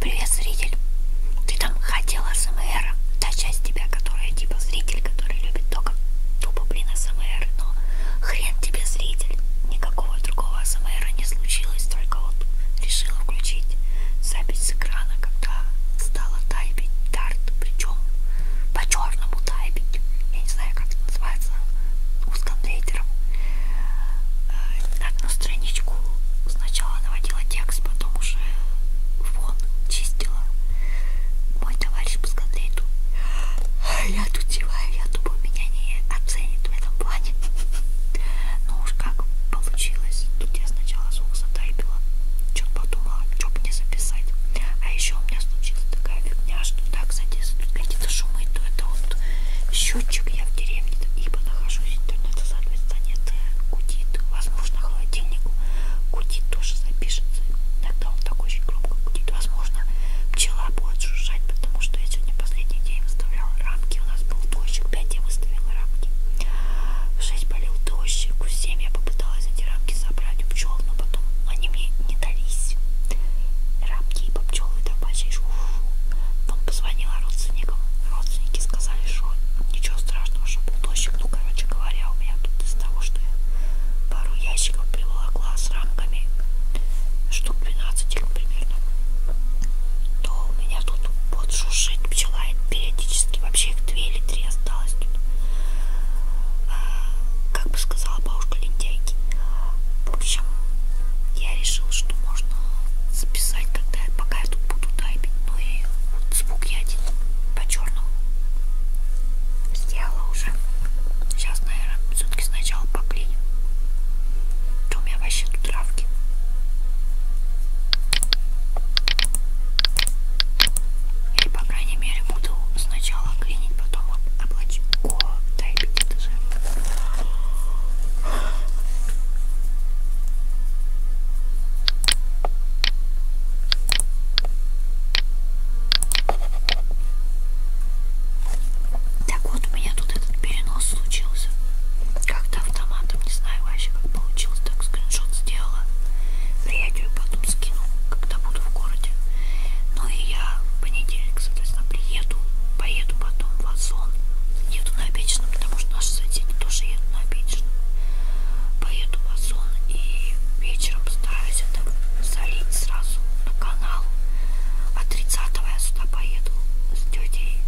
Привет, зритель. Ты там хотела СМР. Та часть тебя, которая типа зритель, который любит только тупо, блин, СМР. Но хрен тебе, зритель. Никакого другого СМР не случилось. Только вот решила включить запись с экрана, когда стала тайпить тарт. Причем по черному тайпить. Я не знаю, как это называется. Узком лейтером. Э, одну страничку сначала наводила текст, потом уже фон чистила. Мой товарищ по скатлейту. Я тут деваю, я думаю, меня не оценит в этом плане. Ну уж как получилось. Тут я сначала звук затайпила. Что-то подумала, что бы не записать. А еще у меня случилась такая фигня, что да, кстати, если тут какие-то шумы, то это вот счетчик я в деревне, ибо нахожусь интернета, соответственно, нет, э, гудит, возможно, холодильник гудит, тоже запишется, тогда он такой очень громко гудит, возможно, пчела будет жужжать, потому что я сегодня последний день выставляла рамки, у нас был дождик, 5 я выставила рамки, в 6 болел дождик, в 7 я попыталась эти рамки собрать у пчел, но потом они мне не дались, рамки, ибо пчелы там почти, фу -фу. потом позвонила родственникам, родственники сказали, что ничего страшного, что был дождик. Ну, короче говоря, у меня тут из того, что я пару ящиков приволокла с рамками, штук 12 их примерно, то у меня тут вот шушит пчела периодически. Вообще их две или три осталось тут. А, как бы сказала бабушка лентяйки. В общем, я решил, что можно записать, когда пока я тут буду тайпить, но и вот звук я один по-черному сделала уже. Сейчас, наверное, все-таки сначала поклеим. То у меня вообще тут травки. Или, по крайней мере, буду сначала клинить, потом облачко тайпить. Это же так вот у меня тут этот перенос случился. Как-то автоматом, не знаю вообще как получилось, так скриншот сделала. Приятелю потом скину, когда буду в городе. Ну и я в понедельник, соответственно, приеду, поеду потом вазон. Еду на обеденном, потому что наши соседи тоже едут на обеденном. Поеду в вазон и вечером постараюсь это залить сразу на канал. А 30 я сюда поеду с тетей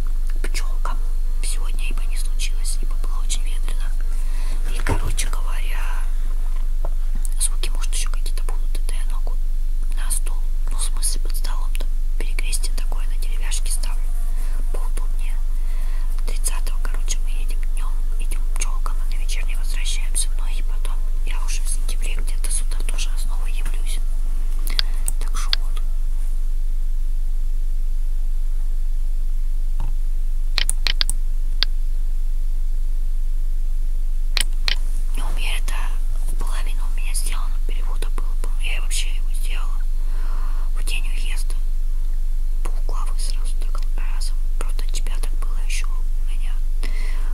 к пчелкам. Сегодня ибо не случилось, ибо было очень ветрено. И, короче говоря, звуки, может, еще какие-то будут. Это я ногу на стол. Ну, в смысле, под столом-то перекрестие такое на деревяшке ставлю полдня. 30-го, короче, мы едем днем, идем пчелкам, а на вечерней возвращаемся. Но ну и потом я уже в сентябре где-то сюда тоже снова явлюсь. Так что вот. Ну, у меня это половина у меня сделана перевод круто было, я вообще его сделала в день уезда, полглавы сразу так разом, просто тебя так было еще у меня,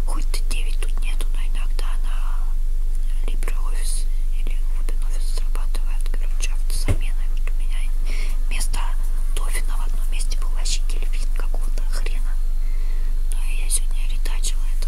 хоть ты 9 тут нету, но иногда на LibreOffice или OpenOffice срабатывает, короче, автозамена, и вот у меня вместо Тофина в одном месте был вообще кельвин какого-то хрена, но ну, я сегодня ретачила это.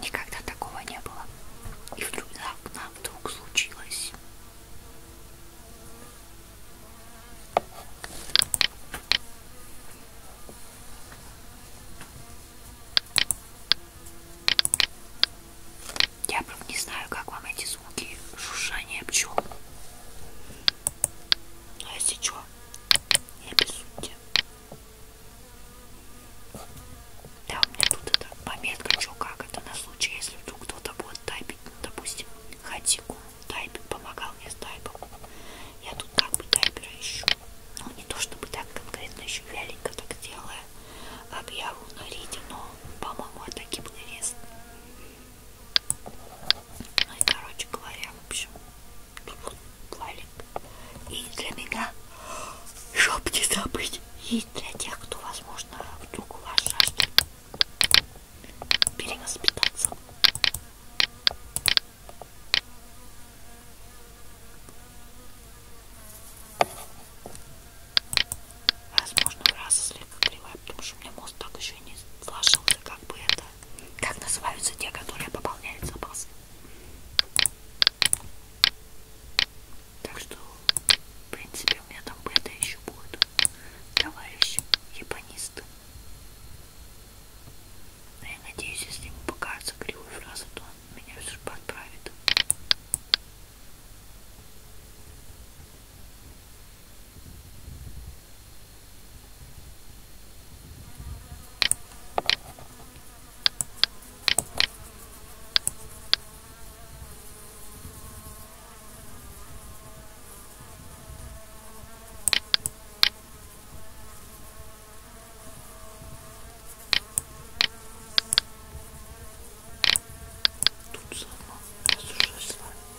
Никогда такого не было. И вдруг нам вдруг случилось. Я правда не знаю, как вам эти звуки шуршания пчел. Но ну, если что, я без сути. Да, у меня тут это пометка, что как это на случай, если вдруг кто-то будет тайпить, ну, допустим, хатику тайпить, помогал мне с тайпом. Я тут как бы тайпера ищу. Ну, не то чтобы так конкретно еще вяленько так делаю объяву на Риде, но, по-моему, это гипнорез. Ну и, короче говоря, в общем, валик. И для меня, чтоб не забыть, и для тех, кто, возможно, вдруг у вас жаждет перевоспитаться. Возможно, фраза слегка кривая, потому что у меня мозг так еще не сложился, как бы это это? Как называются те, которые пополняют запасы? Так что, в принципе, у меня там бета еще будет. Товарищ ебанист. Но я надеюсь, если ему покажется кривой фраза, то он меня все же подправит. Тут сама, без ужаса. Ой,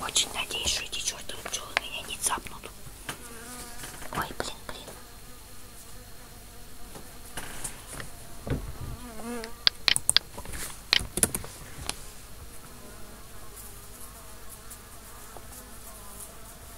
Очень надеюсь, что эти чертовы пчелы меня не цапнут. Ой, блин, блин.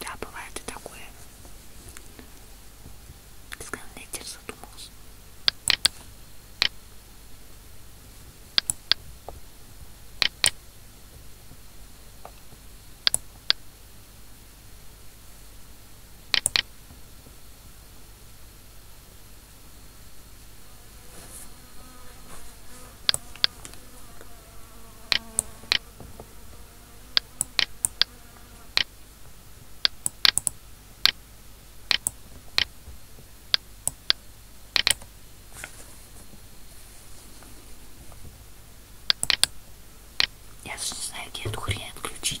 Да, бывает и такое. Ты сказал, ветер задумался. Я даже не знаю, где эту хрень отключить.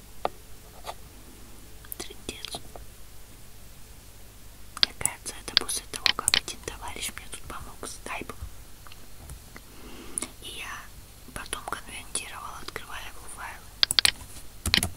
Трындец. Мне кажется, это после того, как один товарищ мне тут помог с тайпом. И я потом конвентировала, открывая его файлы.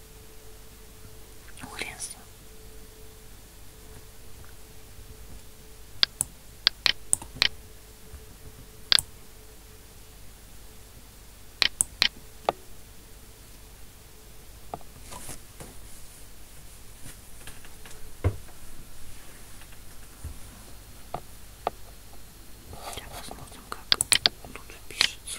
Ну, хрен с ним. Сейчас посмотрим, как тут пишется.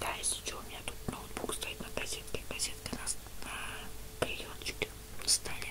Да, если что, у меня тут ноутбук стоит на кассетке, кассетка на, на клееночке стали.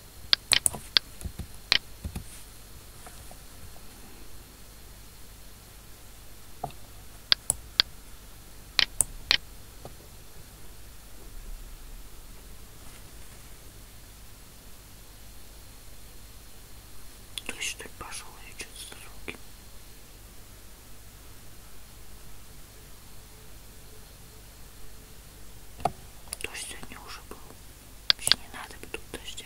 Дождь что ли пошел, я что-то с руки. Дождь сегодня уже был. Вообще не надо тут дождя.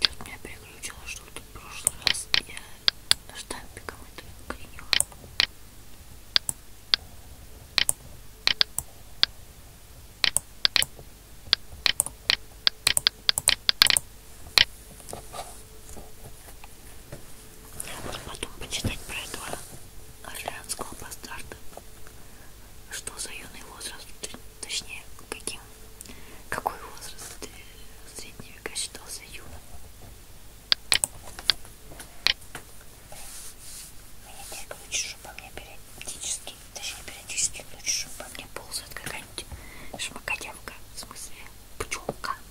Что-то меня переключило, что в прошлый раз я штампиком это клинила. И потом почитать про этого орлеанского бастарда. Что за юный возраст, точнее, каким, какой возраст в средние века считался юным. Меня бегают чужу по мне периодически, точнее периодически, но чужу по мне ползает какая-нибудь шмакодявка, в смысле пчелка.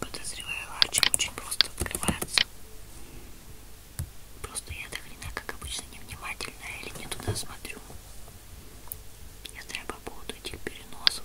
Подозреваю, ларчик очень просто открывается. Просто я до хрена, как обычно, невнимательная или не туда смотрю. Я знаю по поводу этих переносов.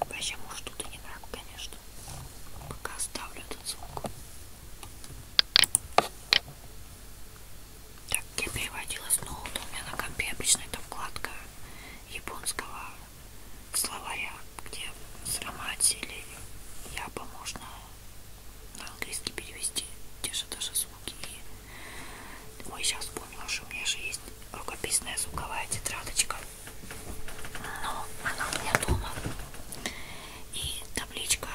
Вообще, может, тут и не надо, конечно. Пока оставлю этот звук. Так, я переводила с ноута. У меня на компе обычно это вкладка японского словаря, где с ромати или япа можно на английский перевести. Те же даже звуки звуки. Ой, сейчас вспомнила, что у меня же есть рукописная звуковая тетрадочка. Но она у меня дома. И табличка.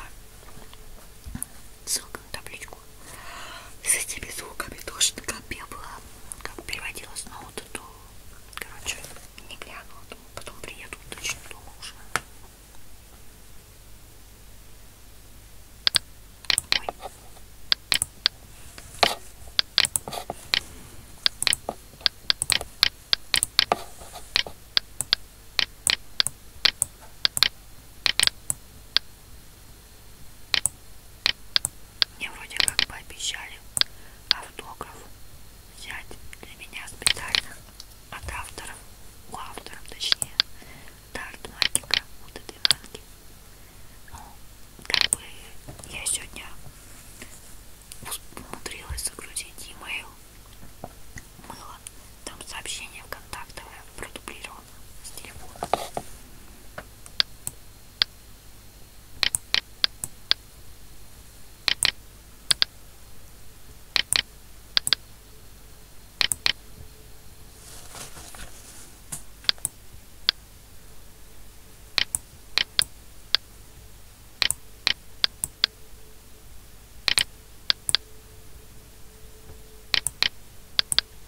Ссылка на табличку. С этими звуками тоже как я была. Как переводила с ноута, то короче не глянула. Потом приеду точно дома уже. Мне вроде как пообещали автограф взять для меня специально от авторов, у авторов точнее, Тарт маленькая, вот этой банки. Ну, как бы я сегодня умудрилась загрузить e-mail. Мыло. Там сообщение контактовое продублировано с телефона.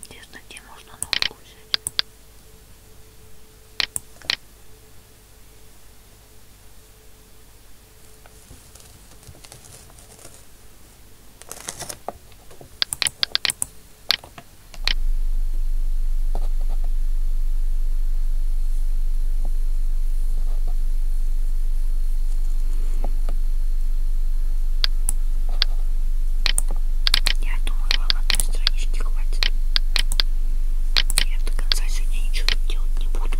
Интересно, где можно ногу взять? Я думаю, вам одной странички хватит. Я до конца сегодня ничего тут делать не буду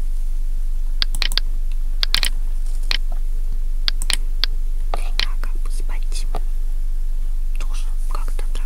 а как бы спать тоже как-то там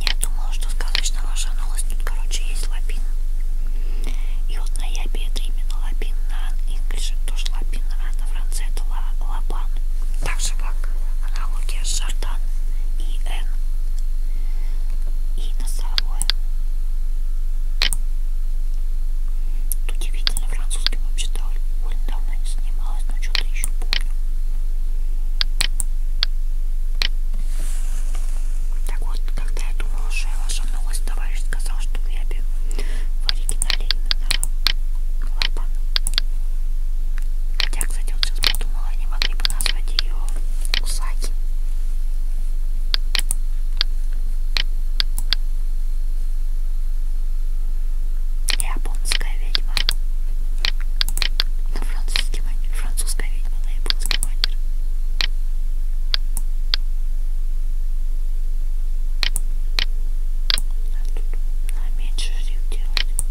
Я думала, что сказочно ваша новость тут, короче, есть лапин. И вот на ябе это именно лапин, на инглише тоже лапин, а на францет Лапан, так же как аналогия Шардан и Н и носовое. Тут удивительно французским вообще довольно давно не занималась, но что-то еще помню. Так вот, когда я думала, что я ложанулась, товарищ сказал, что в Лябе в оригинале клапан. Хотя, кстати, вот сейчас подумала, не могли бы назвать ее Усаки. Японская ведьма. На ну, французский манер. Французская ведьма на японский манер. Надо, надо меньше шрифт делать.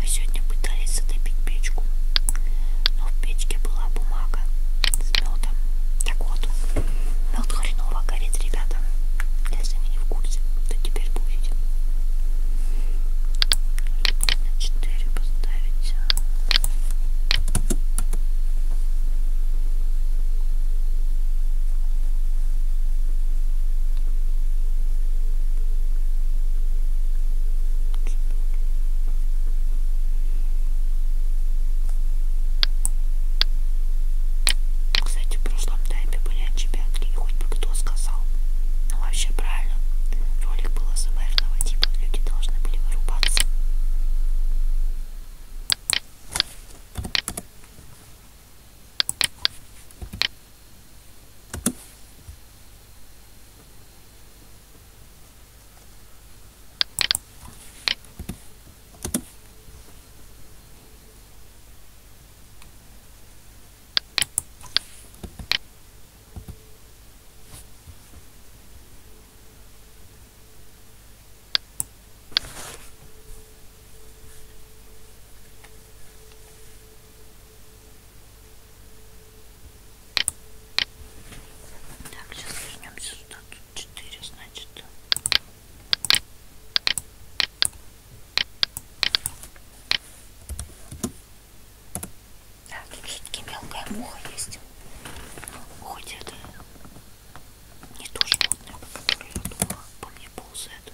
Мы сегодня пытались затопить печку, но в печке была бумага с медом. Так вот, мед хреново горит, ребята. Если вы не в курсе, то теперь будете на 4 поставить кстати, в прошлом тайме были отчебятки, хоть бы кто сказал. Ну вообще правильно, ролик был СМРного типа веки должны были вырубаться. Так, сейчас вернемся сюда, тут 4, значит. Да, тут все-таки мелкая муха есть. Но хоть это не то животное, по которое я думала, по мне ползает.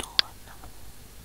Ну ладно. Ой,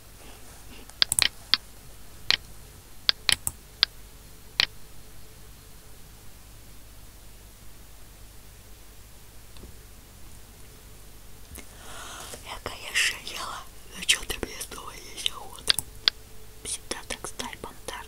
Я, конечно, ела, но ну, что-то мне снова есть охота. Всегда так сталь бомбард.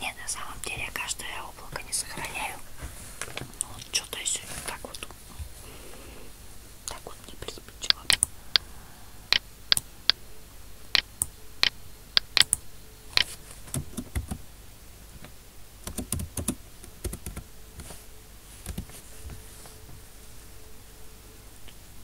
Не, на самом деле я каждое облако не сохраняю. Но ну, вот что-то я сегодня так вот так вот не приспичило.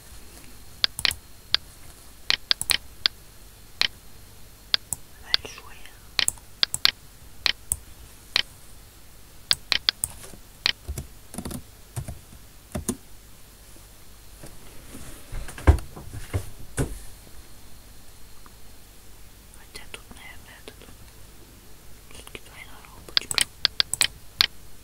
большое Хотя тут, наверное, этот все-таки двойной робочка.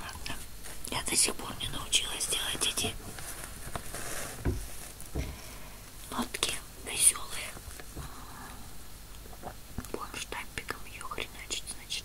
Ладно. Я до сих пор не научилась делать эти нотки веселые. Будем штампиком ее хреначить, значит.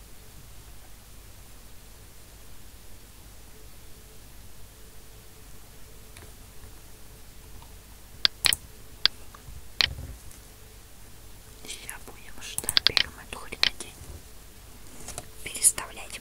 Сейчас будем ждать, берем эту хренотень, переставлять.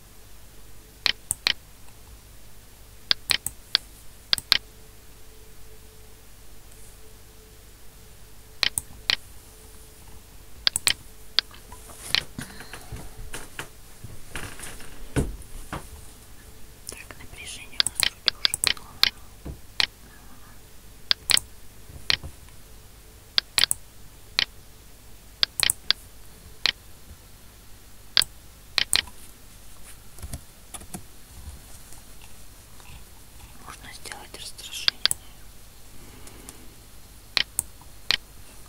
Так, напряжение у нас вроде уже было. Угу. Можно сделать расстрашение.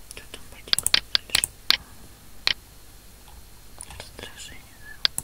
Что там поделать дальше? Раздражение, да?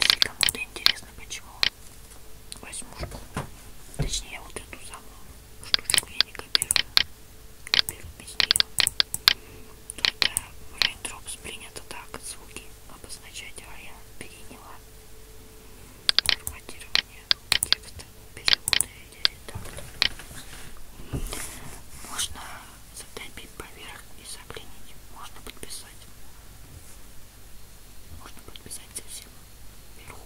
Если кому-то интересно, почему возьму, точнее вот эту самую штучку я не копирую, копирую без нее. Только в принято так звуки обозначать, а я переняла форматирование текста, переводы или редактор. Можно затопить поверх и заклинить. Можно подписать. Можно подписать совсем вверху.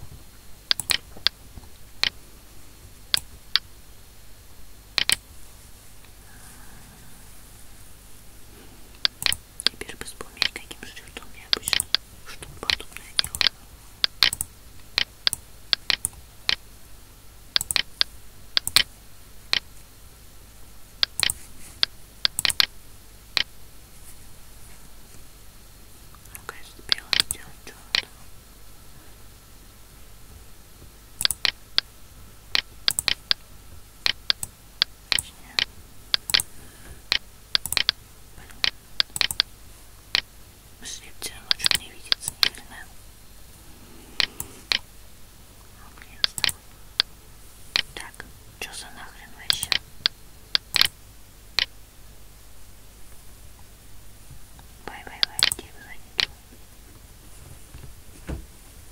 Теперь бы вспомнить, каким шрифтом я обычно что-то подобное делаю. Ну, конечно, белым сделать черным. Точнее. Слепцы ночью не видится, наверное. Так, что за нахрен вообще? Бай-бай-бай, тебе задницу.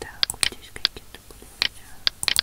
Так, вот здесь какие-то были так,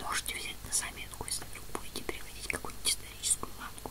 Можете взять на заметку, если вдруг будете приводить какую-нибудь историческую ланку.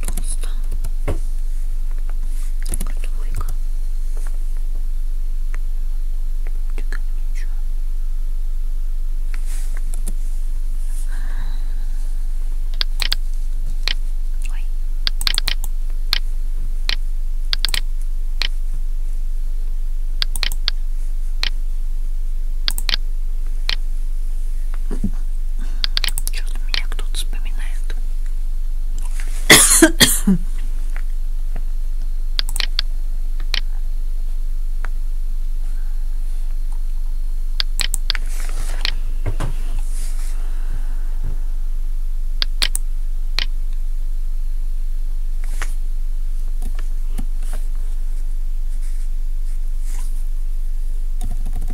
толсто. Так, двойка. Чекать ничего. Ой. Что-то меня меня кто-то вспоминает.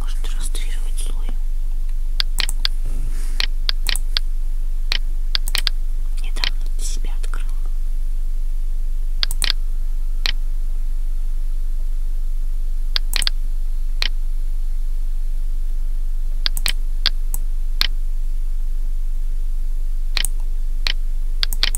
Может растрировать слой. Недавно для себя открыла.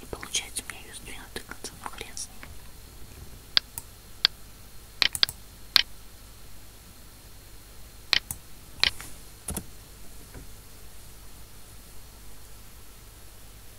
Не получается у меня ее сдвинутый конца, но хрен с ним.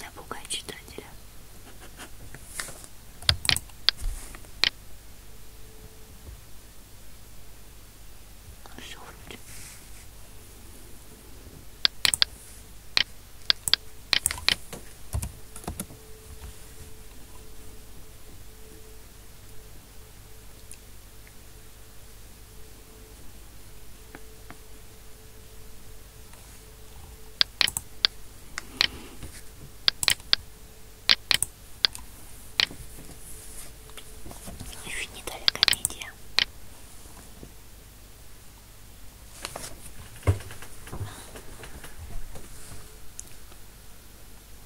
Напугай читателя. Ну, все вроде. Еще не дали комедия.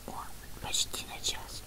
О, почти на час.